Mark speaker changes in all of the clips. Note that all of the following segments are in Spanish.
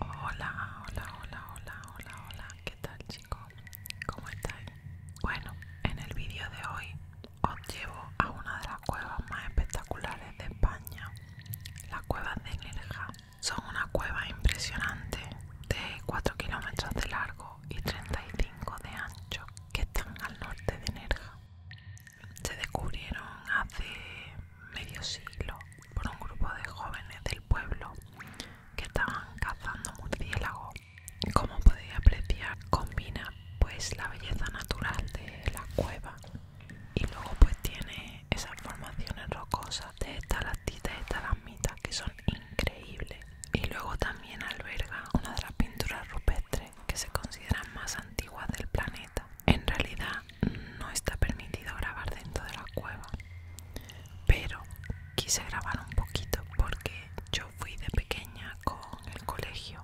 Speaker 1: Hola, hola, hola, hola, hola, hola, ¿qué tal chicos? ¿Cómo estáis? Bueno, en el vídeo de hoy os llevo a una de las cuevas más espectaculares de España, las cuevas de Nerja. Son una cueva impresionante de 4 kilómetros de largo y 35 de ancho que están al norte de Nerja se descubrieron hace medio siglo por un grupo de jóvenes del pueblo que estaban cazando murciélagos. Como podéis apreciar, combina pues la belleza natural de la cueva y luego pues tiene esas formaciones rocosas de estalactitas y estalagmitas que son increíbles. Y luego también alberga una de las pinturas rupestres que se consideran más antiguas del planeta. En realidad no está permitido grabar dentro de la cueva, pero quise grabar un poquito porque yo fui de pequeña con el colegio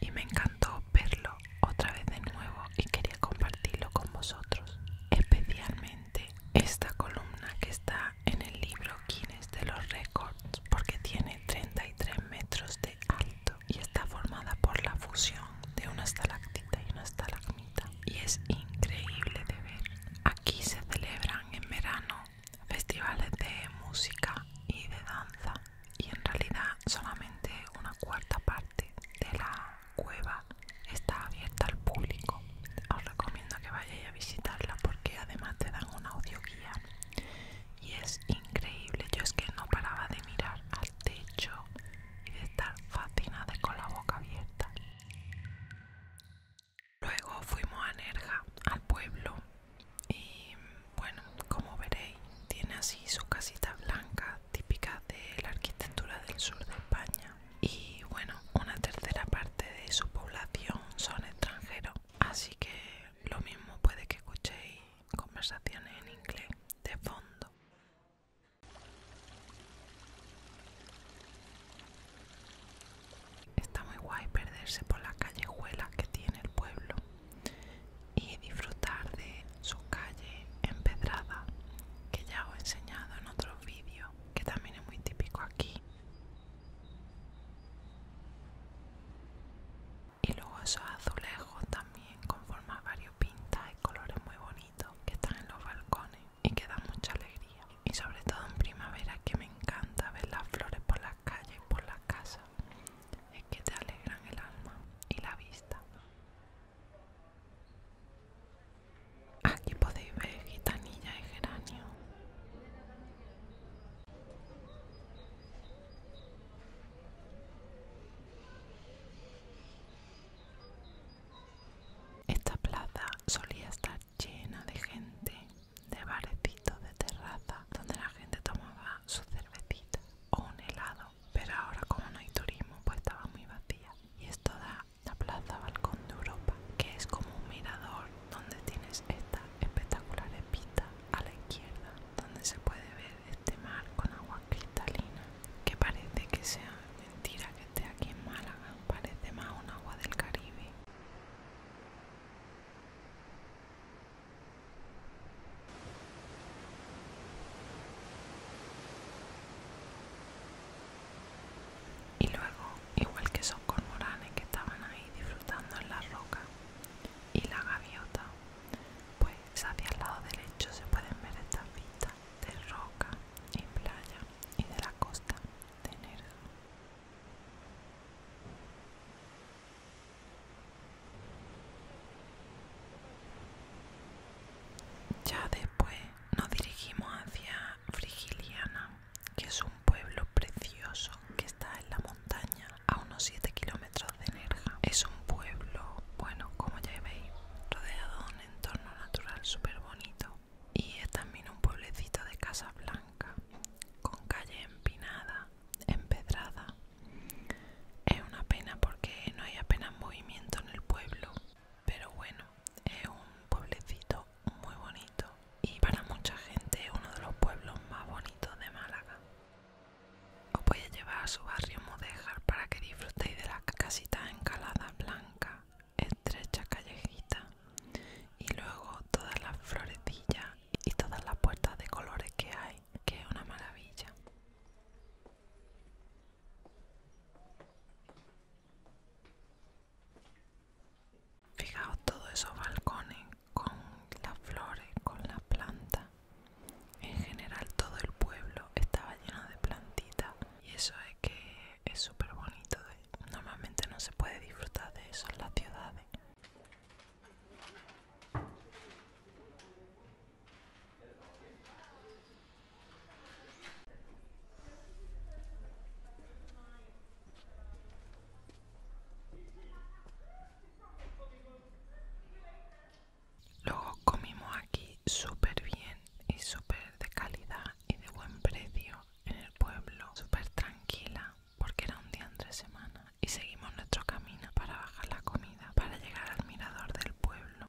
Speaker 1: y me encantó verlo otra vez de nuevo y quería compartirlo con vosotros, especialmente esta columna que está en el libro Guinness de los récords porque tiene 33 metros de alto y está formada por la fusión de una estalactita y una estalagmita y es increíble de ver. Aquí se celebran en verano festivales de música y de danza y en realidad solamente una cuarta parte de la cueva está abierta al público. Os recomiendo que vayáis a visitarla porque además te dan un audio audioguía y es increíble yo es que no paraba de mirar al techo y de estar fascinada con la boca abierta luego fuimos a Nerja al pueblo y bueno como veréis tiene así su casita blanca típica de la arquitectura del sur de España y bueno una tercera parte de su población son extranjeros así que lo mismo puede que escuchéis conversaciones en inglés de fondo. Está muy guay perderse por las callejuelas que tiene el pueblo y disfrutar de su calle empedrada, que ya os he enseñado en otros vídeos, que también es muy típico aquí. Y luego esos azulejos también con varios variopintas y colores muy bonitos que están en los balcones y que dan mucha alegría. Y sobre todo en primavera que me encanta ver las flores por las calles y por las casas. Es que te alegran el alma y la vista. Aquí ah, podéis ver gitanilla y geranio. Esta plaza solía estar llena de gente, de barecitos de terraza, donde la gente tomaba su cervecita o un helado. Pero ahora como no hay turismo, pues estaba muy vacía. Y esto da la plaza Balcón de Europa, que es como un mirador donde tienes esta espectacular vista a la izquierda, donde se puede ver este mar con agua cristalina, que parece que sea mentira que esté aquí en Málaga, parece más un agua del Caribe. Y luego igual que esos cormoranes que estaban ahí disfrutando en la roca y la gaviota, pues hacia el lado derecho se pueden ver estas vistas de roca y playa y de la costa de Ya después nos dirigimos hacia Frigiliana, que es un pueblo precioso que está en la montaña a unos 7 kilómetros de Nerja. Es un pueblo, bueno, como ya veis, rodeado de un entorno natural súper bonito. Y es también un pueblecito de casa blanca, con calle empinada, empedrada. Es una pena porque no hay apenas movimiento en el pueblo, pero bueno, es un pueblecito muy bonito y para mucha gente es uno de los pueblos más bonitos de Málaga. Os voy a llevar a su barrio Modéjar para que disfrutéis de la casita encalada blanca Estrecha callejita y luego todas las florecillas y todas las puertas de colores que hay, que es una maravilla. Fijaos todos esos balcones con las flores, con las plantas. En general todo el pueblo estaba lleno de plantitas y eso es que es súper bonito. Normalmente no se puede disfrutar de eso en las ciudades. Luego comimos aquí súper bien y súper de calidad y de buen precio en el pueblo, súper tranquila porque era un día entre semana y seguimos nuestro camino para bajar la comida para llegar al mirador del pueblo.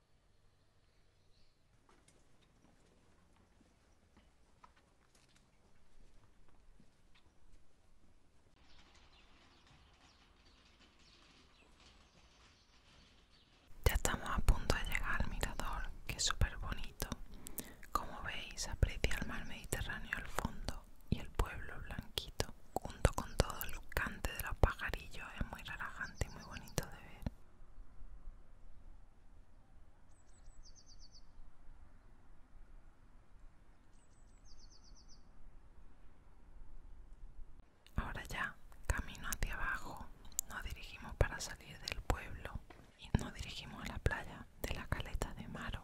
Speaker 1: Ya estamos a punto de llegar al mirador, que es súper bonito. Como veis, aprecia el mar Mediterráneo al fondo y el pueblo blanquito, junto con todo el lucante de los pajarillos, es muy relajante y muy bonito de ver. Ahora ya, camino hacia abajo, nos dirigimos para salir del pueblo y nos dirigimos a la playa de la caleta de Maro.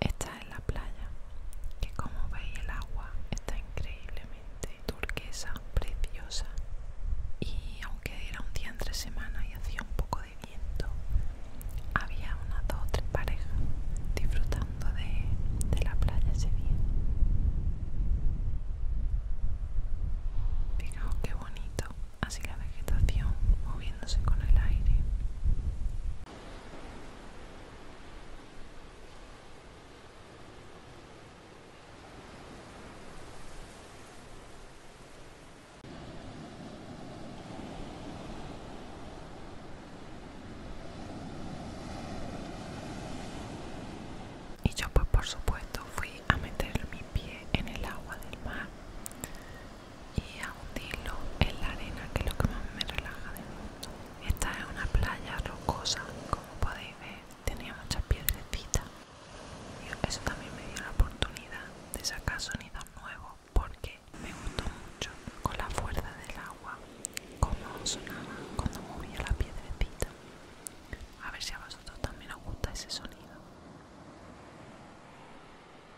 Speaker 1: Esta es la playa, que como veis el agua está increíblemente turquesa, preciosa. Y aunque era un día entre semana y hacía un poco de viento, había unas dos o tres parejas disfrutando de, la playa ese día. Fijaos qué bonito, así la vegetación moviéndose con el aire. Y yo pues por supuesto fui a meter mi pie en el agua del mar y a en la arena que es lo que más me relaja del mundo. Esta es una playa rocosa, como podéis ver, tenía muchas piedrecitas. eso también me dio la oportunidad de sacar sonidos nuevos porque me gustó mucho con la fuerza del agua, como sonaba cuando movía la piedrecita. A ver si a vosotros también os gusta ese sonido.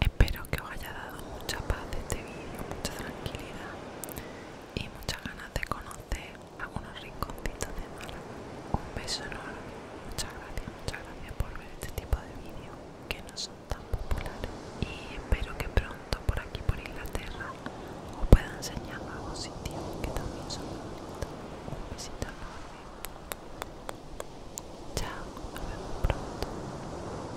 Speaker 1: Espero que os haya dado mucha paz este vídeo, mucha tranquilidad y muchas ganas de conocer algunos rinconcitos de Málaga. Un beso enorme, muchas gracias, muchas gracias por ver este tipo de vídeo que nos tan popular y espero que pronto por aquí por Inglaterra os pueda enseñar algunos sitios que también son bonitos. Un besito enorme. Chao, nos vemos pronto.